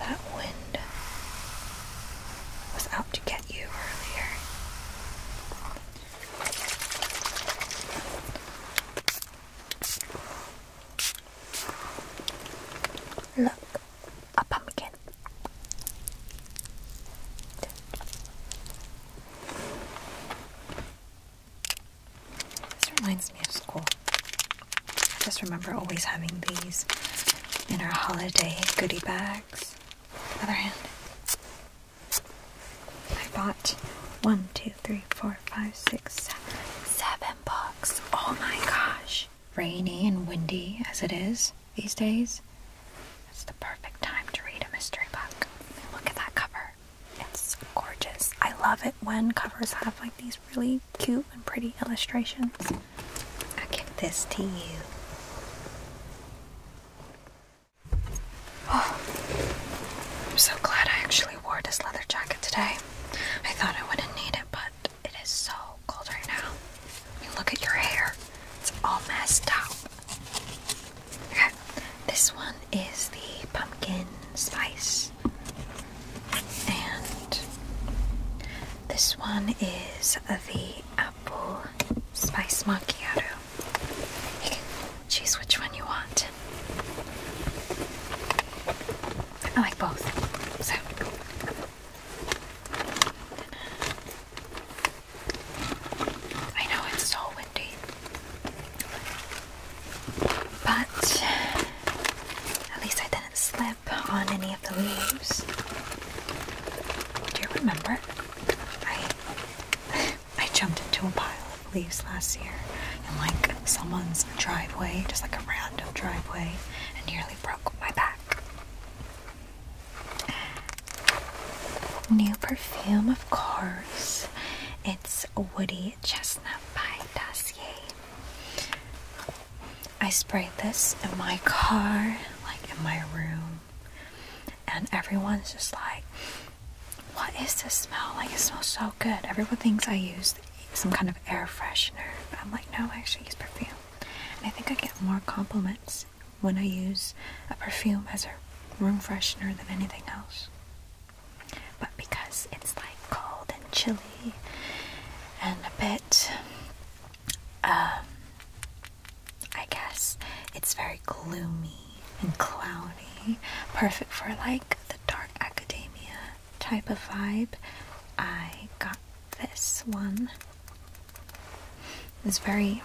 That wind was out to get you earlier. Look, a pumpkin. This reminds me of school. I just remember always having these in our holiday goodie bags. other hand, I bought one, two, three, four, five, six, seven books. Oh my gosh. Rainy and windy as it is these days, it's the perfect time to read a mystery book. Look at that cover. It's gorgeous. I love it when covers have like these really cute and pretty illustrations. i give this to you. Oh, I'm so glad I actually wore this leather jacket today. I thought I wouldn't need it, but it is so cold right now. look at your hair. It's all messed up. Okay, this one is the pumpkin spice and this one is the apple spice macchiato. You can choose which one you want. I like both. So I know it's so windy. But at least I didn't slip on any of the leaves. Do you remember? I I jumped into a pile of leaves last year in like someone's driveway, just like a random driveway, and nearly broke my back. New perfume, of course. It's Woody Chestnut by Dossier. I sprayed this in my car, like in my room, and everyone's just like, What is this smell? Like, it smells so good. Everyone thinks I use some kind of air freshener. I'm like, No, I actually use perfume. And I think I get more compliments when I use a perfume as a room freshener than anything else. But because it's like cold and chilly and a bit um, I guess it's very gloomy and cloudy, perfect for like the dark academia type of vibe. I got this one. It's very,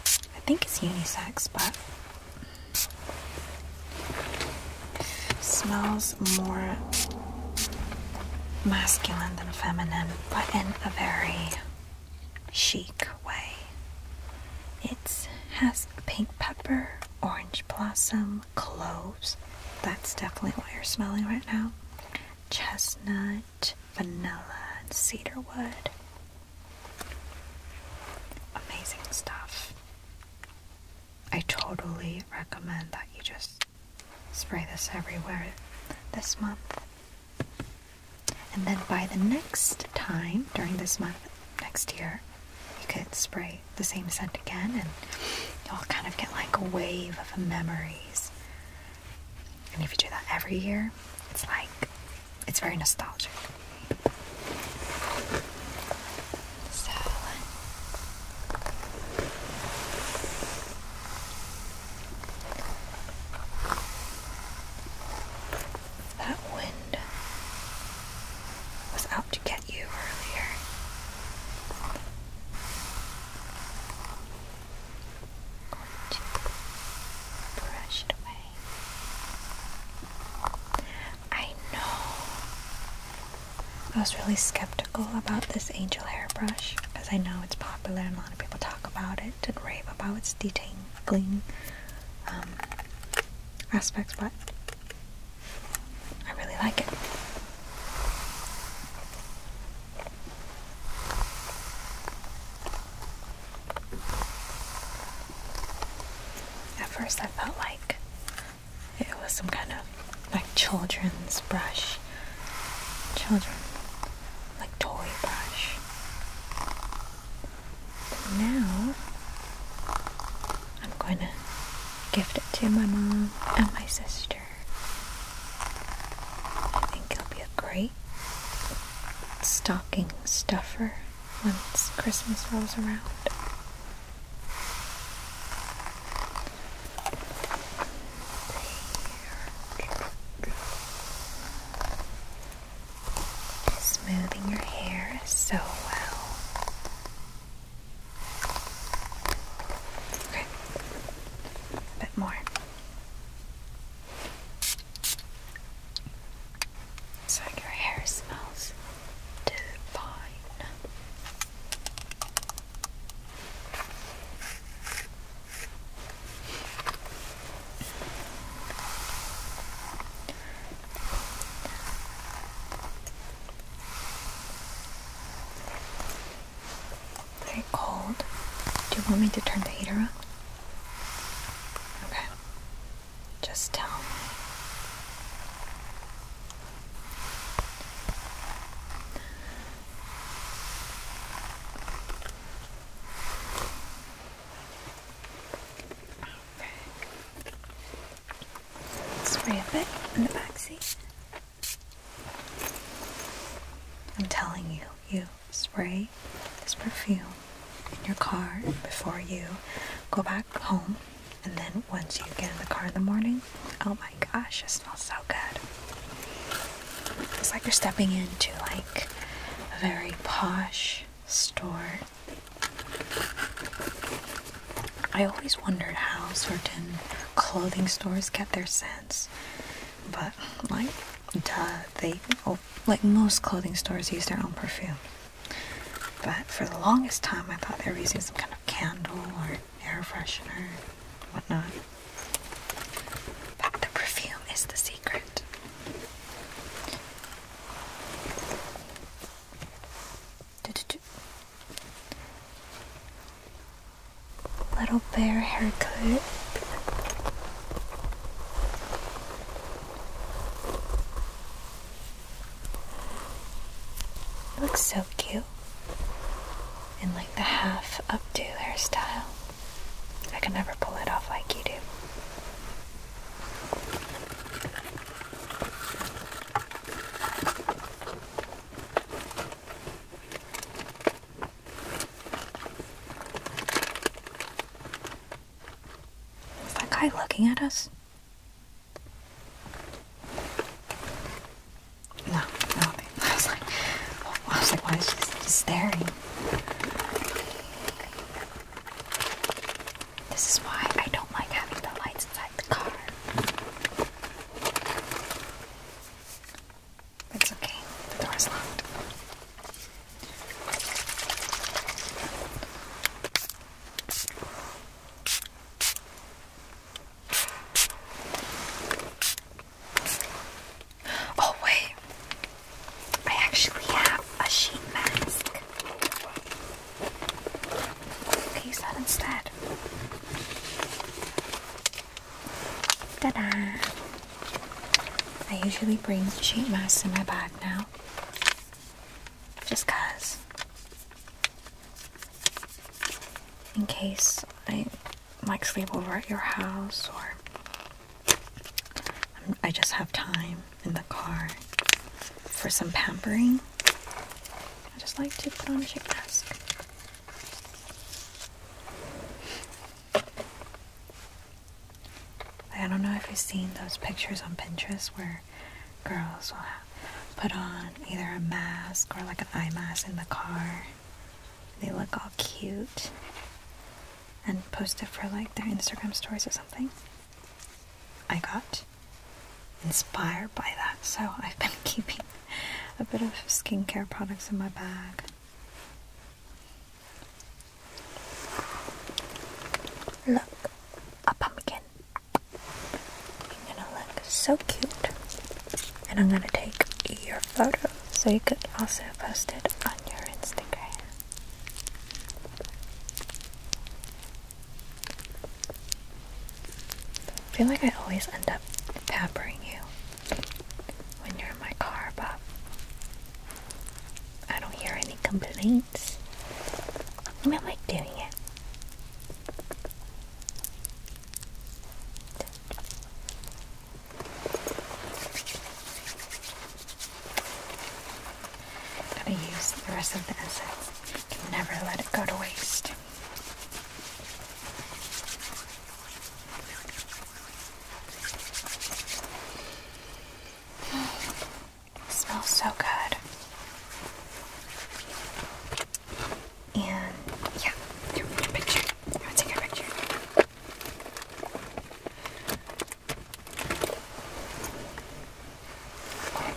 I think it's unisex, but Smells more masculine than feminine, but in a very chic way. It has pink pepper, orange blossom, cloves. That's definitely what you're smelling right now. Chestnut, vanilla, and cedar wood. Amazing stuff. I totally recommend that you just Spray this everywhere this month. And then by the next time during this month, next year, you could spray the same scent again and you'll kind of get like a wave of memories. And if you do that every year, it's like, it's very nostalgic. So that wind was out to get you earlier. i away. I know I was really skeptical about this angel hairbrush because I know it's popular and a lot of people talk about it and rave about its detangling um, aspects, but I really like it. At first, I felt like it was some kind of like children's brush. Children. Like toy brush. But now I'm going to gift it to my mom and my sister. I think it'll be a great stocking stuffer once Christmas rolls around. Smoothing your hair so well. Okay, a bit more. So your hair smells divine. Very cold. Do you want me to turn the heater on? Okay. Just tell me. Spray a bit in the back seat. I'm telling you, you spray this perfume in your car before you go back home and then once you get in the car in the morning, oh my gosh, it smells so good. It's like you're stepping into like a very posh store. I always wondered how certain clothing stores get their scents, but like, duh, they oh, like most clothing stores use their own perfume. But for the longest time, I thought they were using some kind of candle or air freshener, whatnot. But the perfume is the secret. Little bear hair haircut. Looks so cute and like the half updo hairstyle. I can never pull it off like you do. Is that guy looking at us? No, no. I was like, I was like, why is she staring? This is why I don't like having the lights inside the car. It's okay. The door is locked. Oh, wait. I actually have a sheet mask. use that instead. Ta da! I usually bring sheet masks in my bag now. Just cuz in case I like sleep over at your house or I just have time in the car for some pampering. I just like to put on a chic mask. I don't know if you've seen those pictures on Pinterest where girls will have put on either a mask or like an eye mask in the car. They look all cute and post it for like their Instagram stories or something. I got inspired by that, so I've been keeping a bit of skincare products in my bag. Look, a pumpkin. You're gonna look so cute. And I'm gonna take your photo so you could also post it on your Instagram. feel like I always end up pampering you when you're in my car, but I don't hear any complaints. I am I like doing it. I'm gonna use the rest of the essence. Can never let it go to waste. smells so good. And yeah, take a picture? Okay.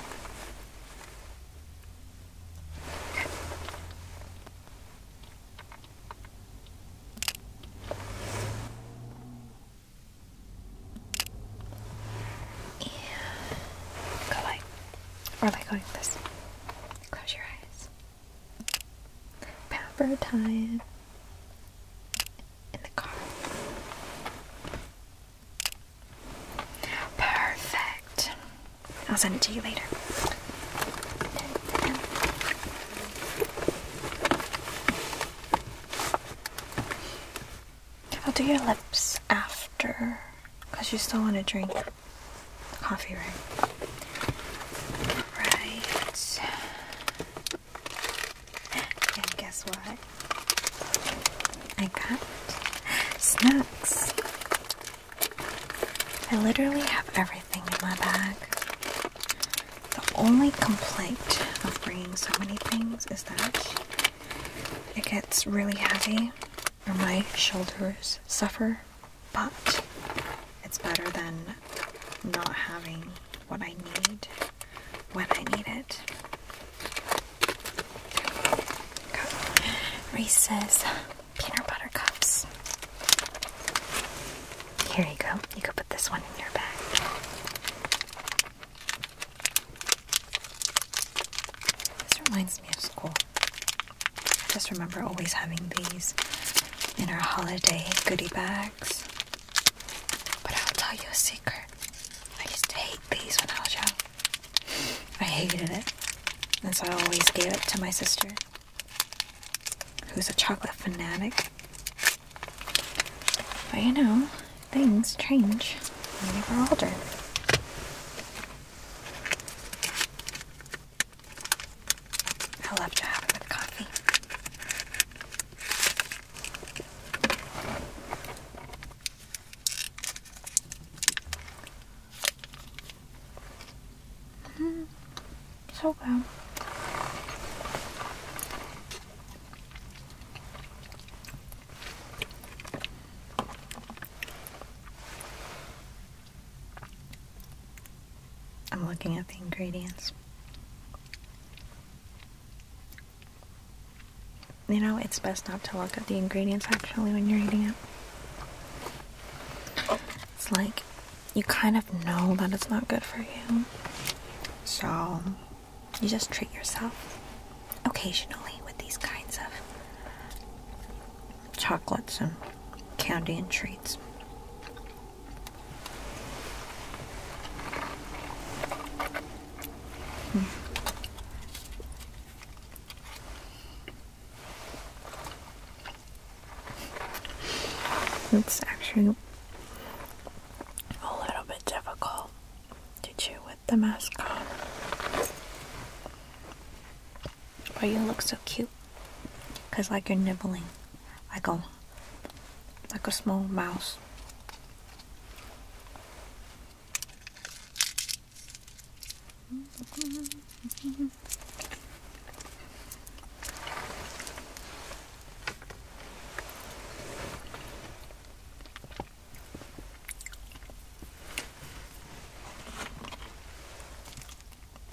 And go like, or like going this. Close your eyes. Pamper time in the car. Perfect. I'll send it to you later. I'll do your lips after, because you still want to drink coffee room. Right. And guess what? I got snacks. I literally have everything in my bag. The only complaint of bringing so many things is that it gets really heavy or my shoulders suffer, but it's better than not having what I need when I need it. Reese's peanut butter cups. Here you go. You could put this one in your bag. This reminds me of school. I just remember always having these in our holiday goodie bags. But I'll tell you a secret. I used to hate these when I was young. I hated it. And so I always gave it to my sister, who's a chocolate fanatic. But you know, things change when you are older. I love to have it with coffee. Mm, so good. I'm looking at the ingredients. You know, it's best not to look at the ingredients actually when you're eating it. It's like you kind of know that it's not good for you. So you just treat yourself occasionally with these kinds of chocolates and candy and treats. Hmm. It's actually a little bit difficult to chew with the mask on. But you look so cute. Cause like you're nibbling. Like a like a small mouse.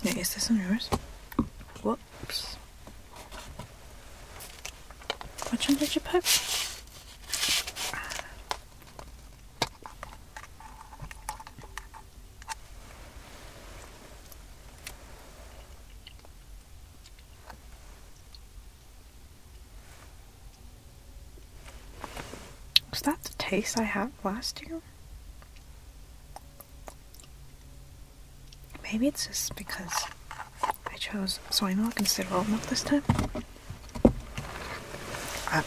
Yeah, is this on yours? Whoops. Which one did you pick? Was that the taste I had last year? Maybe it's just because I chose soy milk instead of oat milk this time. I,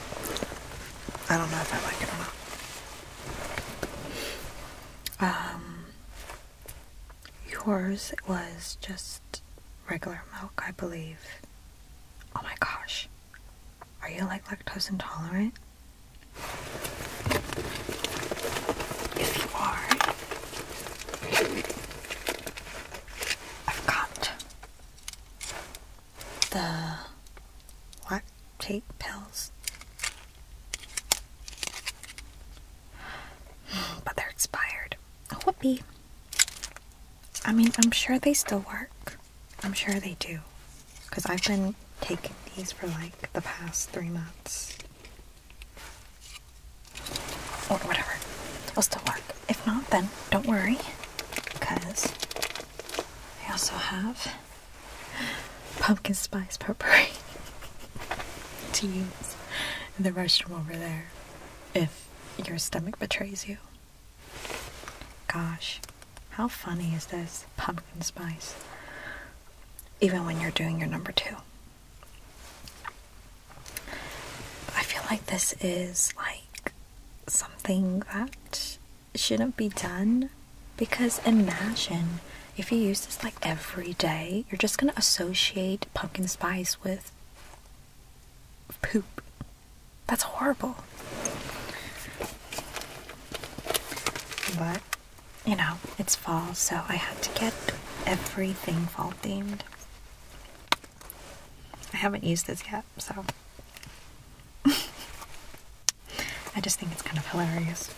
I don't know if I like it or not. Um, yours was just regular milk, I believe. Oh my gosh. Are you like lactose intolerant? If you are, I've got the lactate pills. But they're expired. Oh, whoopee. I mean, I'm sure they still work. I'm sure they do. Because I've been taking these for like the past three months. Or whatever. They'll still work. If not, then don't worry. Because I also have pumpkin spice peppermint tea in the restroom over there if your stomach betrays you. Gosh, how funny is this? Pumpkin spice. Even when you're doing your number two. I feel like this is like something that shouldn't be done because imagine if you use this like every day, you're just gonna associate pumpkin spice with poop. That's horrible. But, you know, it's fall, so I had to get everything fall themed. I haven't used this yet, so. I just think it's kind of hilarious.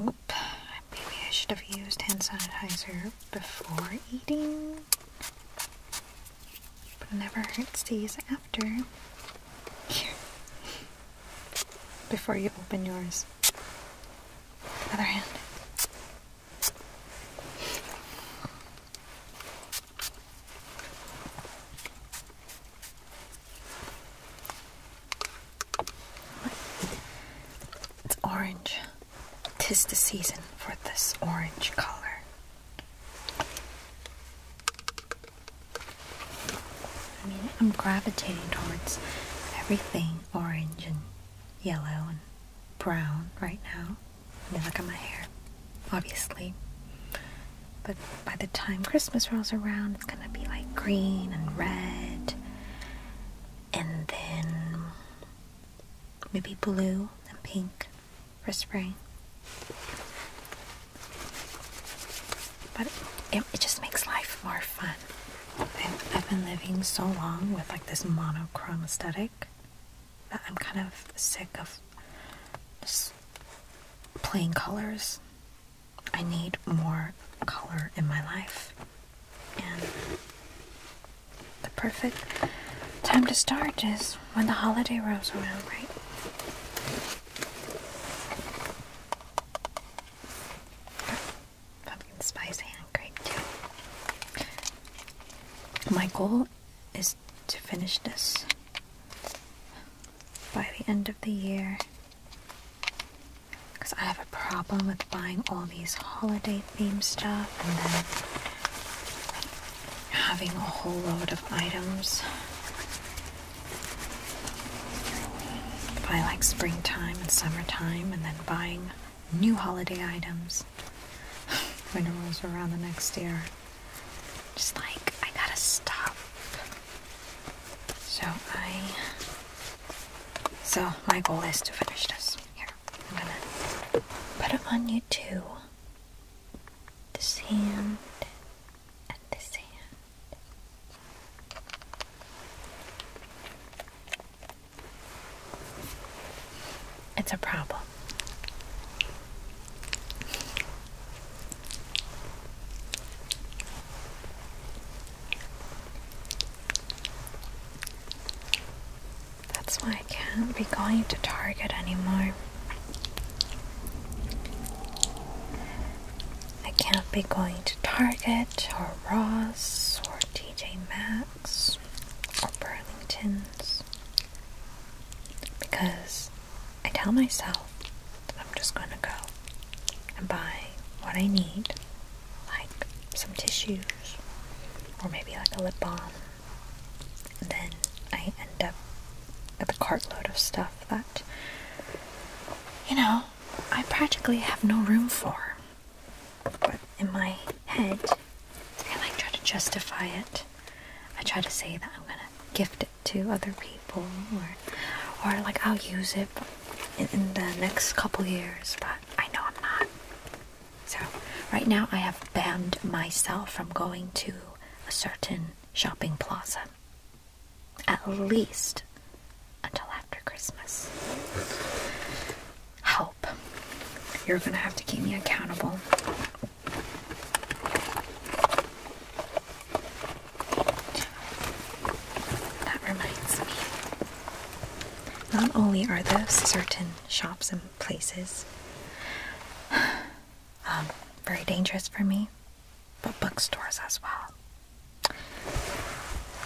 Oop, maybe I should have used hand sanitizer before eating. But never hurts to use it after. Here. Before you open yours. Other hand. It's orange. Tis the season for this orange color. I mean, I'm gravitating towards everything orange and yellow and brown right now. And then look at my hair, obviously. But by the time Christmas rolls around, it's gonna be like green and red, and then maybe blue and pink for spring. But it, just makes life more fun. I've been living so long with like this monochrome aesthetic I'm kind of sick of just plain colors. I need more color in my life. And the perfect time to start is when the holiday rolls around, right? Pumpkin spice hand grape too. My is to finish this by the end of the year. Because I have a problem with buying all these holiday themed stuff and then having a whole load of items. By like springtime and summertime, and then buying new holiday items when I was around the next year. Just like, I gotta stop. So I... So my goal is to finish this. Here, I'm gonna put it on you too. This hand and this hand. It's a problem. That's why I can't be going to Target anymore. I can't be going to Target or Ross or TJ Maxx or Burlington's because I tell myself that I'm just going to go and buy what I need, like some tissues or maybe like a lip balm. And then I end up with a cartload of stuff that, you know, I practically have no room for. But in my head, I try to justify it I try to say that I'm gonna gift it to other people, or or like I'll use it in, the next couple years, but I know I'm not. So right now I have banned myself from going to a certain shopping plaza, at least until after Christmas. Help. You're gonna have to keep me accountable. That reminds me. Not only are there certain shops and places um, very dangerous for me, but bookstores as well.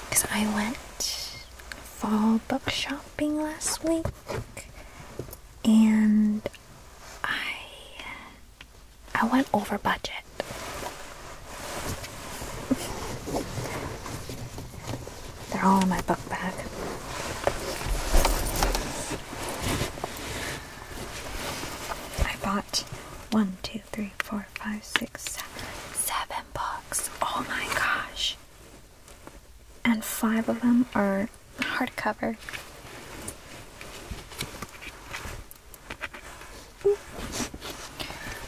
Because I went fall book shopping last week and I I went over budget. They're all in my book bag. I bought one, two, three, four, five, six, seven, seven books. Oh my gosh and five of them are hardcover.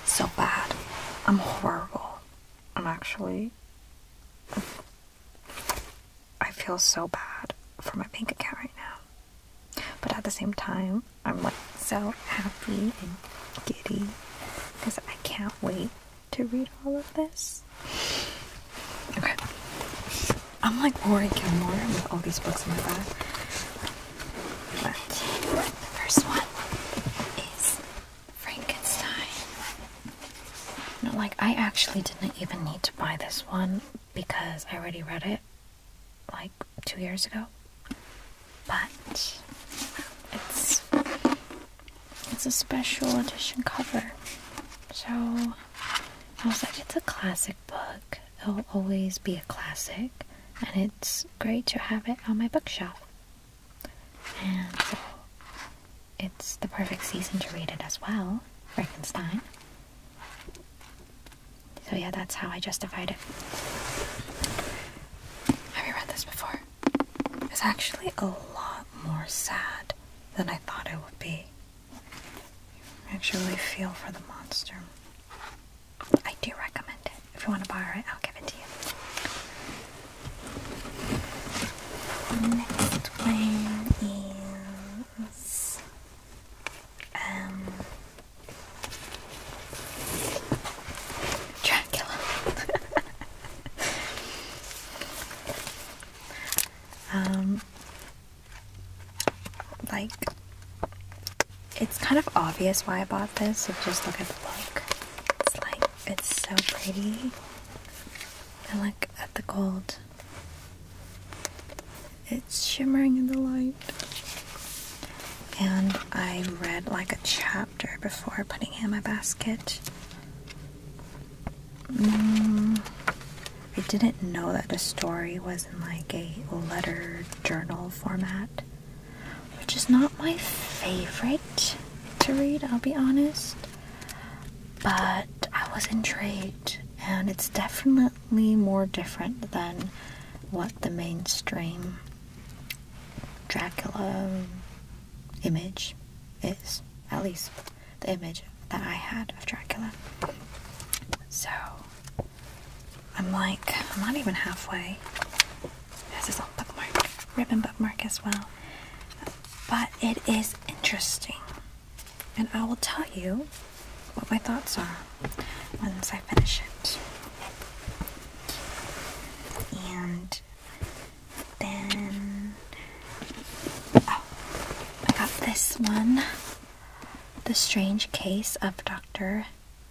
So bad. I'm horrible. I'm actually. I feel so bad for my bank account right now. But at the same time, I'm like so happy and giddy because I can't wait to read all of this. Okay. I'm like Rory Gilmore with all these books in my bag. the first one is Frankenstein. You like I actually didn't even need to buy this one because I already read it like two years ago. But it's it's a special edition cover. So I was like, it's a classic book. It'll always be a classic. And it's great to have it on my bookshelf. And it's the perfect season to read it as well. Frankenstein. So yeah, that's how I justified it. Have you read this before? It's actually a lot more sad than I thought it would be. Actually, feel for the monster. I do recommend it. If you want to borrow it, I'll give it to you. Next one is um Dracula. Um, like, it's kind of obvious why I bought this, if just look at the look. It's like, it's so pretty. And look at the gold. It's shimmering in the light. And I read like a chapter before putting it in my basket. Mm, I didn't know that the story was in like a letter journal format, which is not my favorite to read, I'll be honest. But I was intrigued, and it's definitely more different than what the mainstream Dracula image is, at least the image that I had of Dracula. So I'm like, I'm not even halfway. This is on bookmark, ribbon bookmark as well. But it is interesting. And I will tell you what my thoughts are once I finish it. And then, oh, I got this one The Strange Case of Dr.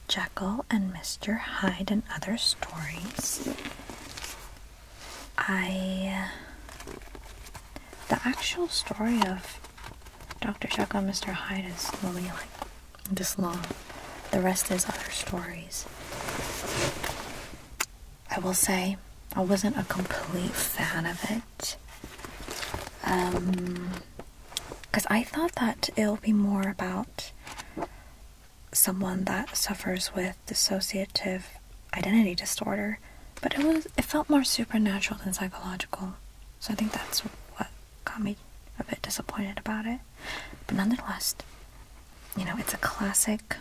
Jekyll and Mr. Hyde and Other Stories. I. Uh, the actual story of Dr. Jekyll and Mr. Hyde is only like this long. The rest is other stories. I will say I wasn't a complete fan of it. Um, because I thought that it'll be more about someone that suffers with dissociative identity disorder, but it was it felt more supernatural than psychological. So I think that's what got me a bit disappointed about it. But nonetheless, you know, it's a classic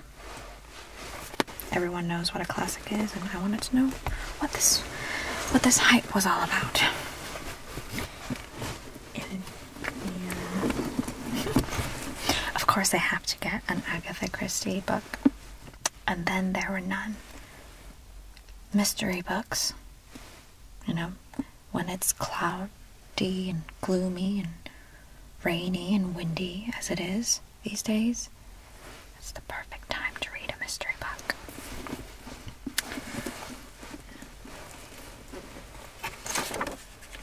Everyone knows what a classic is, and I wanted to know what this what this hype was all about. of course, I have to get an Agatha Christie book, and then there were none. Mystery books, you know, when it's cloudy and gloomy and rainy and windy as it is, these days. It's the perfect time to read a mystery book.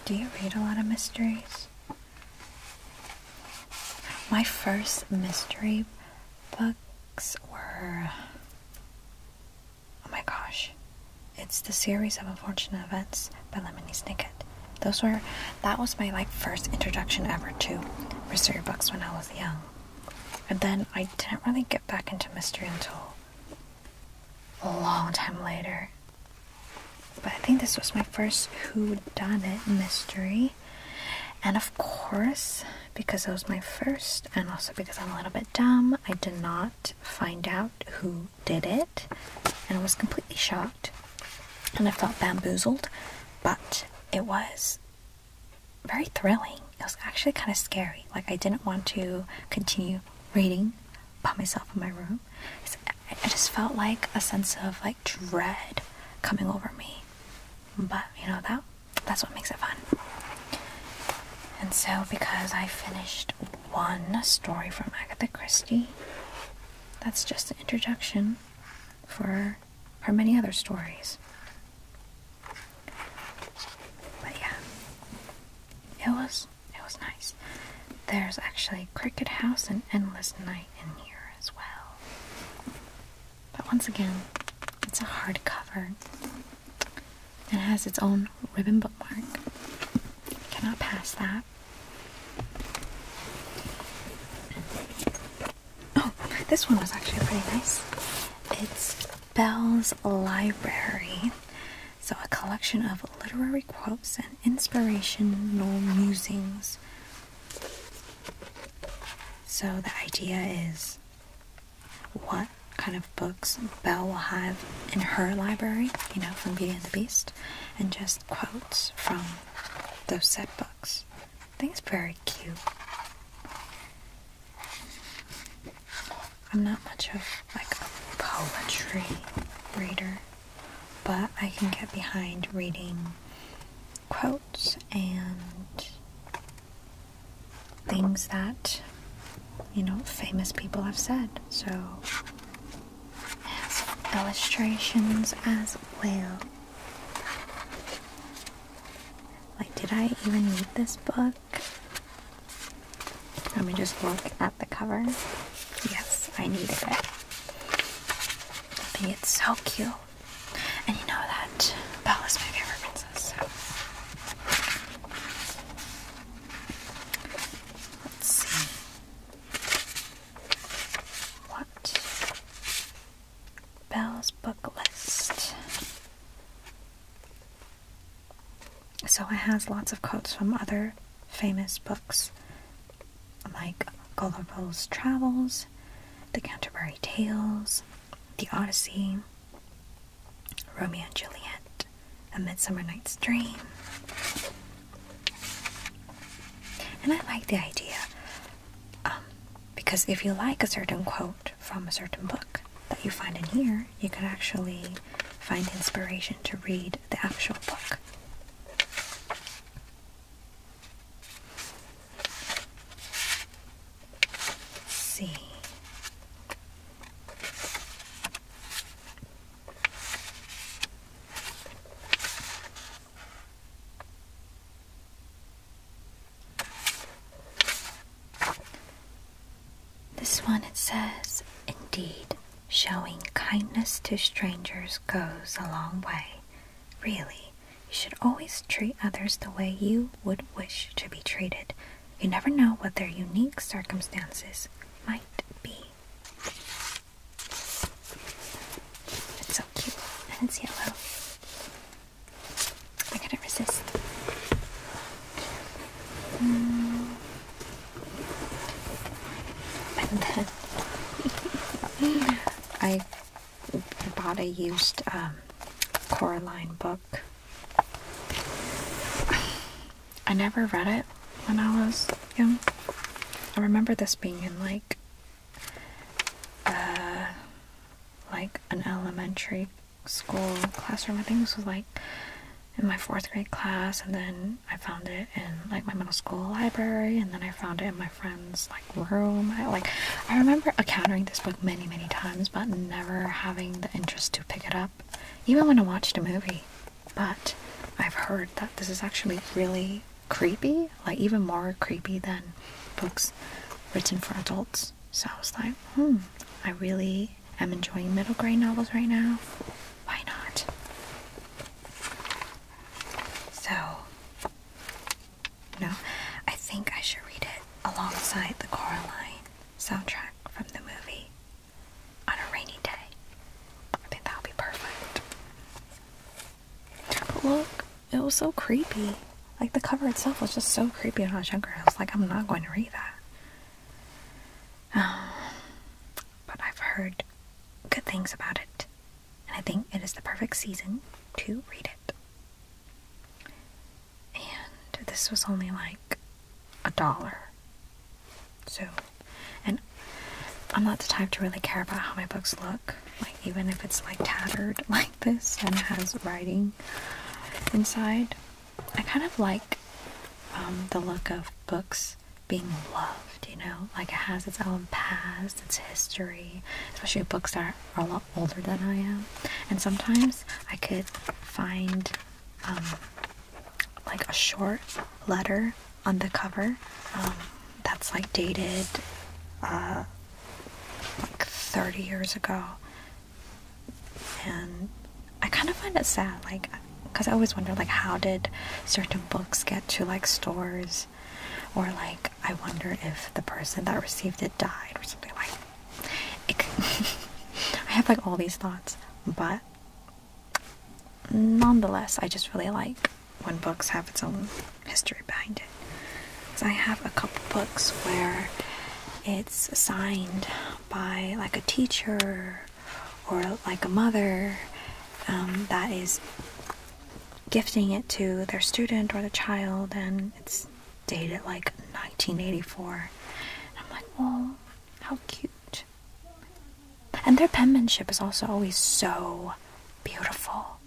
Do you read a lot of mysteries? My first mystery books were. Oh my gosh. It's the series of unfortunate events by Lemony Snicket. Those were that was my like first introduction ever to mystery books when I was young. And then I didn't really get back into mystery until a long time later. But I think this was my first who done it mystery. And of course, because it was my first and also because I'm a little bit dumb, I did not find out who did it and I was completely shocked and I felt bamboozled, but it was very thrilling. It was actually kind of scary. Like I didn't want to continue reading by myself in my room. I just felt like a sense of like dread coming over me. But you know that that's what makes it fun. And so because I finished one story from Agatha Christie, that's just the introduction for her many other stories. But yeah, it was it was nice. There's actually Cricket House and Endless Night in here as well. But once again, it's a hardcover. It has its own ribbon bookmark. Cannot pass that. Oh, this one was actually pretty nice. It's Belle's Library. So, a collection of literary quotes and inspirational musings. So, the idea is what kind of books Belle will have in her library, you know, from Beauty and the Beast, and just quotes from those set books box. I think it's very cute. I'm not much of like a poetry reader, but I can get behind reading quotes and things that you know famous people have said. So has illustrations as well. Like, did I even need this book? Let me just look at the cover. Yes, I need it. it's so cute. And you know that Bella's my favorite princess, Let's see. What? Bell's book list. So it has lots of quotes from other famous books like Gulliver's Travels, The Canterbury Tales, The Odyssey, Romeo and Juliet, A Midsummer Night's Dream, and I like the idea um, because if you like a certain quote from a certain book that you find in here, you can actually find inspiration to read the actual book. see. This one it says, Indeed, showing kindness to strangers goes a long way. Really, you should always treat others the way you would wish to be treated. You never know what their unique circumstances might be. It's so cute, and it's yellow. I couldn't resist. And then I bought a used um, Coraline book. I never read it when I was young. I remember this being in like uh, like an elementary school classroom. I think this was like in my fourth grade class, and then I found it in like my middle school library, and then I found it in my friend's like room. I, like I remember encountering this book many, many times, but never having the interest to pick it up, even when I watched a movie. But I've heard that this is actually really creepy, like even more creepy than books written for adults. So I was like, hmm, I really am enjoying middle grade novels right now. Why not? So, no, I think I should read it alongside the Coraline soundtrack from the movie on a rainy day. I think that'll be perfect look, it was so creepy. Like the cover itself was just so creepy when I was younger. I was like, I'm not going to read that. Um, but I've heard good things about it, and I think it is the perfect season to read it. And this was only like a dollar. So, and I'm not the type to really care about how my books look, like even if it's like tattered like this and has writing inside. I kind of like um, the look of books being loved, you know, like it has its own past, its history, especially books that are, are a lot older than I am. And sometimes I could find um, like a short letter on the cover. Um, that's like dated uh, like 30 years ago. And I kind of find it sad, like, because I always wonder, like, how did certain books get to like stores? Or, like, I wonder if the person that received it died or something like I have like all these thoughts, but nonetheless, I just really like when books have its own history behind it. I have a couple books where it's signed by like a teacher or like a mother um, that is gifting it to their student or the child, and it's dated like 1984. And I'm like, well, how cute. And their penmanship is also always so beautiful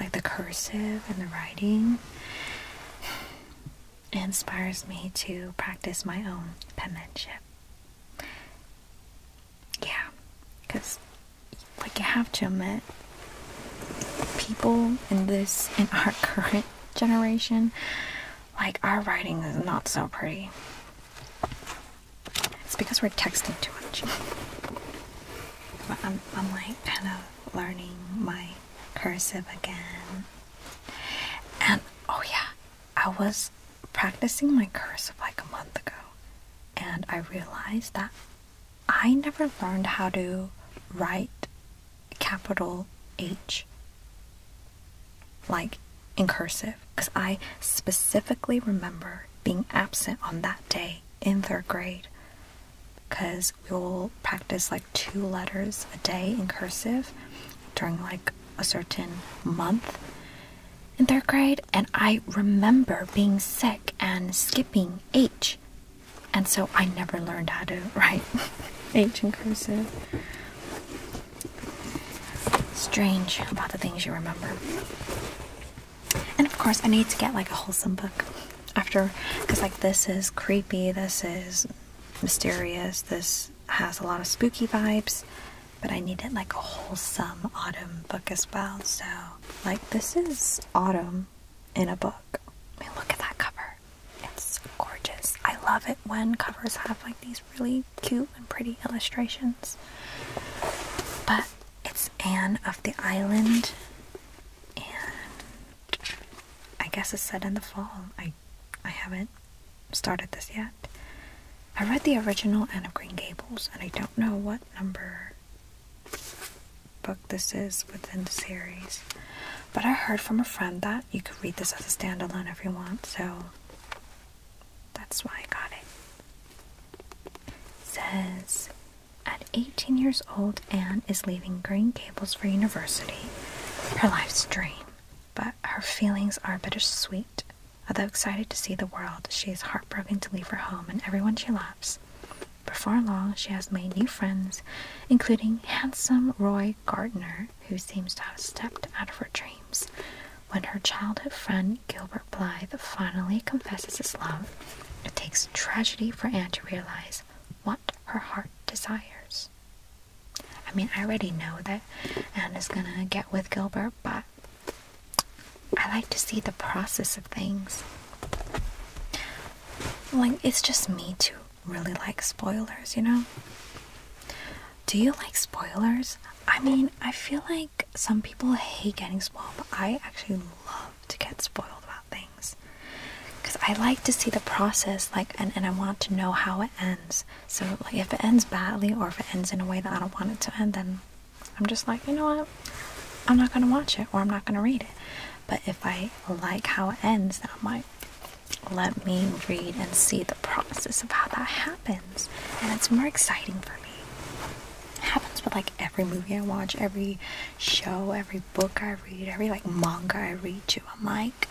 like the cursive and the writing inspires me to practice my own penmanship yeah because like you have to admit people in this in our current generation like our writing is not so pretty it's because we're texting too much. I'm, like kind of learning my cursive again. And oh, yeah, I was practicing my cursive like a month ago, and I realized that I never learned how to write capital H like in cursive because I specifically remember being absent on that day in third grade because we'll practice like two letters a day in cursive during like a certain month in third grade and I remember being sick and skipping H and so I never learned how to write H in cursive. Strange about the things you remember. And of course, I need to get like a wholesome book after because, like, this is creepy, this is mysterious, this has a lot of spooky vibes, but I needed like a wholesome autumn book as well. So, like, this is autumn in a book. I mean, look at that cover, it's gorgeous. I love it when covers have like these really cute and pretty illustrations. But it's Anne of the Island, and I guess it's set in the fall. I, I haven't started this yet. I read the original Anne of Green Gables, and I don't know what number book this is within the series. But I heard from a friend that you could read this as a standalone if you want, so that's why I got it. Says at 18 years old, Anne is leaving Green Gables for university. Her life's dream, but her feelings are bittersweet. Although excited to see the world, she is heartbroken to leave her home and everyone she loves. Before long, she has made new friends, including handsome Roy Gardner, who seems to have stepped out of her dreams. When her childhood friend Gilbert reply finally confesses his love, it takes tragedy for Anne to realize what her heart desires. I mean, I already know that Anne is gonna get with Gilbert, but I like to see the process of things. Like, it's just me too. really like spoilers, you know? Do you like spoilers? I mean, I feel like some people hate getting spoiled, but I actually love to get spoiled about things because I like to see the process, like, and, and I want to know how it ends. So, like, if it ends badly or if it ends in a way that I don't want it to end, then I'm just like, you know what, I'm not gonna watch it or I'm not gonna read it. But if I like how it ends, then I'm let me read and see the process of how that happens, and it's more exciting for me happens with like every movie I watch, every show, every book I read, every like manga I read to. I'm like,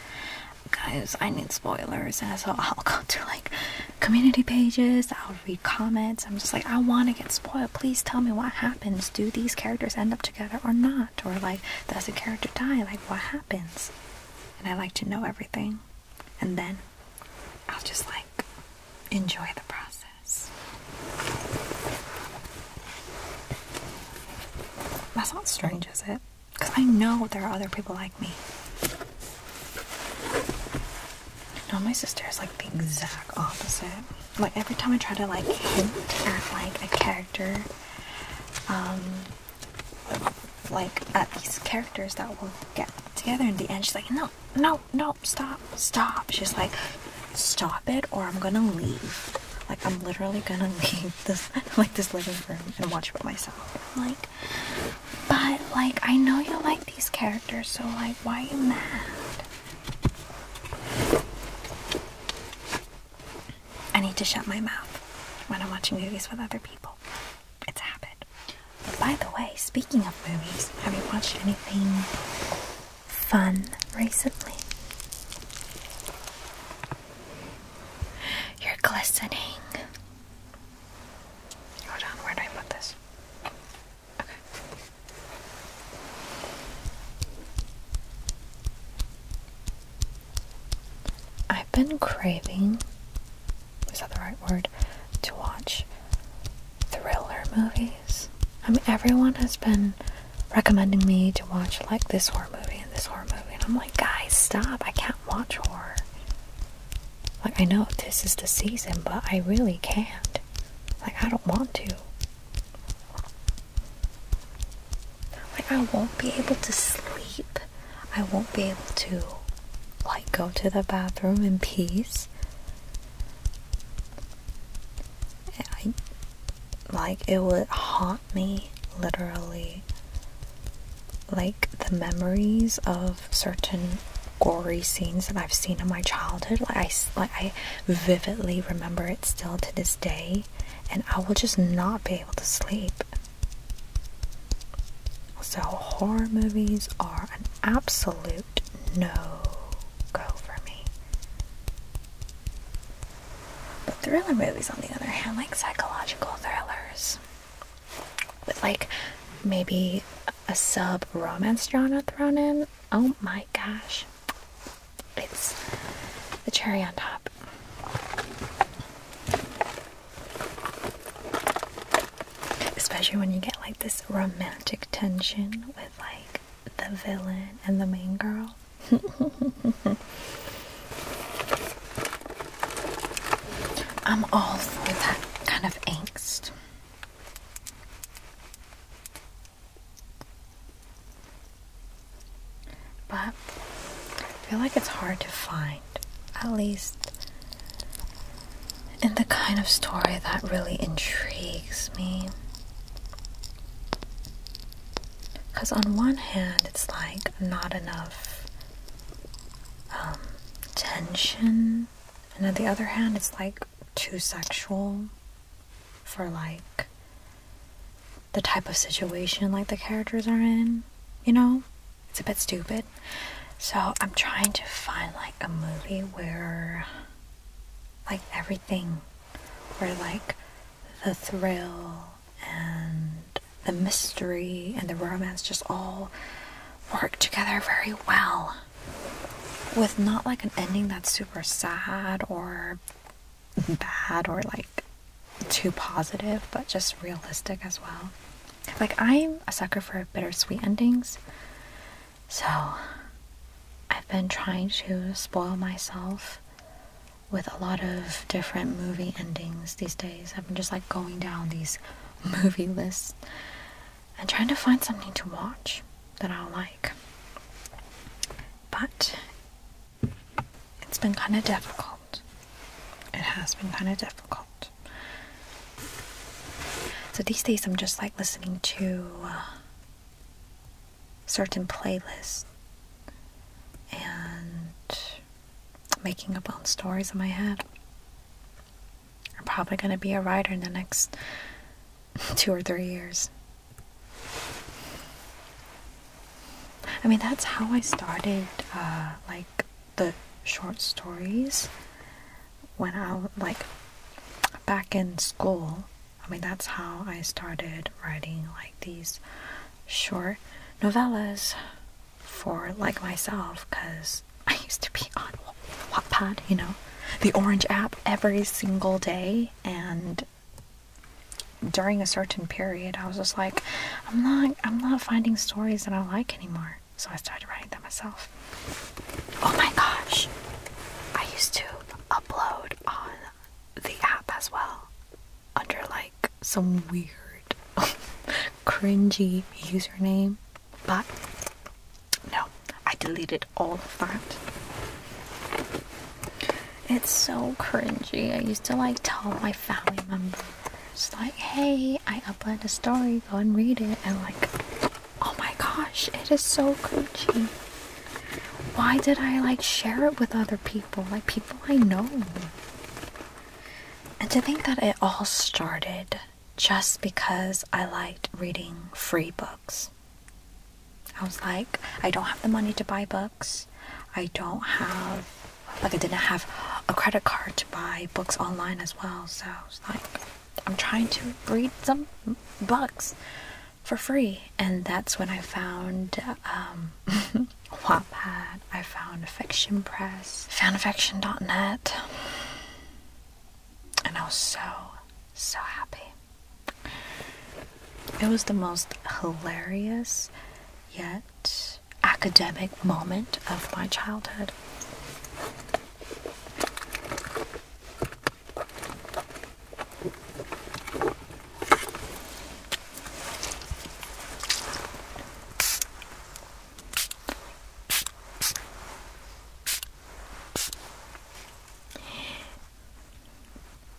guys, I need spoilers. And so I'll go to like community pages, I'll read comments. I'm just like, I want to get spoiled. Please tell me what happens. Do these characters end up together or not? Or like, does a character die? Like, what happens? And I like to know everything. And then I'll just like enjoy the process. That's not strange, is it? Because I know there are other people like me. No, my sister is like the exact opposite. Like every time I try to like hint at like a character, um, like at these characters that will get together in the end, she's like, no, no, no, stop, stop, She's like, stop it or I'm gonna leave. Like I'm literally gonna leave this like this living room and watch it myself. like, but like I know you like these characters, so like why are you mad? I need to shut my mouth when I'm watching movies with other people. It's a habit by the way, speaking of movies, have you watched anything fun recently? You're glistening. Hold on, where do I put this? Okay. I've been craving, is that the right word, to watch thriller movies. I mean, everyone has been recommending me to watch like this horror movie and this horror movie, and I'm like, guys, stop! I can't watch horror. Like, I know this is the season, but I really can't. Like, I don't want to. Like, I won't be able to sleep. I won't be able to, like, go to the bathroom in peace. I like it would haunt me literally like the memories of certain gory scenes that I've seen in my childhood I like I vividly remember it still to this day and I will just not be able to sleep so horror movies are an absolute no-go for me. But thriller movies, on the other hand, like psychological thrillers with like maybe a sub romance genre thrown in, oh my gosh, it's the cherry on top especially when you get like this romantic tension with like the villain and the main girl. I'm all for that kind of angst. But I feel like it's hard to find. At least and the kind of story that really intrigues me. Because, on one hand, it's like not enough um, tension, and on the other hand, it's like too sexual for like the type of situation like the characters are in, you know? It's a bit stupid. So, I'm trying to find like a movie where like everything where like the thrill and the mystery and the romance just all work together very well with not like an ending that's super sad or bad or like too positive but just realistic as well like i'm a sucker for bittersweet endings so I've been trying to spoil myself with a lot of different movie endings these days. I've been just like going down these movie lists and trying to find something to watch that I'll like. But it's been kind of difficult. It has been kind of difficult. So these days I'm just like listening to uh, certain playlists and making up own stories in my head. I'm probably going to be a writer in the next two or three years. I mean, that's how I started, uh, like, the short stories when I like back in school. I mean, that's how I started writing like these short novellas for like myself because I used to be on Wattpad, you know, the Orange app every single day. And during a certain period, I was just like, I'm not, I'm not finding stories that I like anymore so I started writing them myself. Oh my gosh! I used to upload on the app as well, under like some weird, cringy username, but no, I deleted all of that. It's so cringy. I used to like tell my family members, like, hey, I uploaded a story, go and read it, and like, Oh my gosh, it is so Gucci. Why did I like share it with other people? Like people I know. And to think that it all started just because I liked reading free books. I was like, I don't have the money to buy books. I don't have, like, I didn't have a credit card to buy books online as well. So I was like, I'm trying to read some books for free, and that's when I found um, I found Fiction Press, FoundAffection.net, and I was so so happy. It was the most hilarious yet academic moment of my childhood.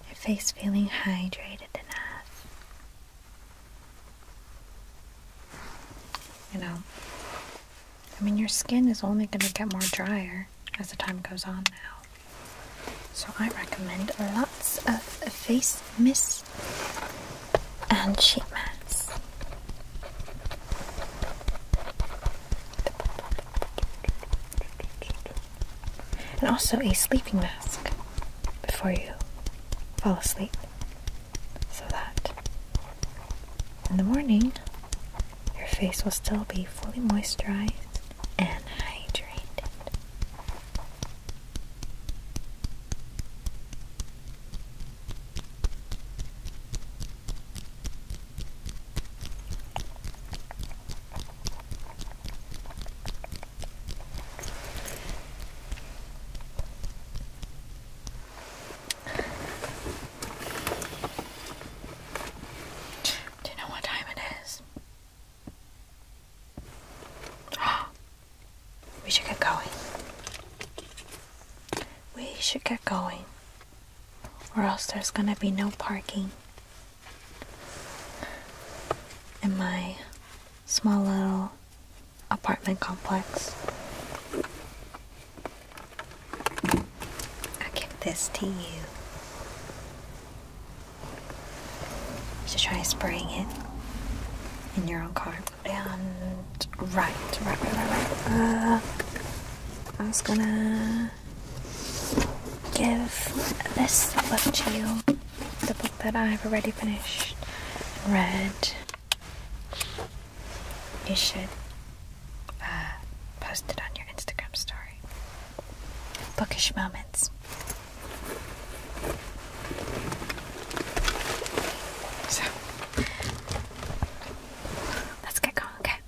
Your face feeling hydrated enough. You know, I mean, your skin is only going to get more drier as the time goes on now. So I recommend lots of face mist and sheet masks. And also a sleeping mask before you fall asleep so that in the morning, your face will still be fully moisturized and hydrated. Do you know what time it is? we should get going. We should get going. Or else there's gonna be no parking in my small little apartment complex. I give this to you. So try spraying it in your own car. And right, right, right, right, right. Uh, I was gonna give this book to you. The book that I've already finished and read you should uh, post it on your Instagram story. Bookish moments. So, let's get going, okay?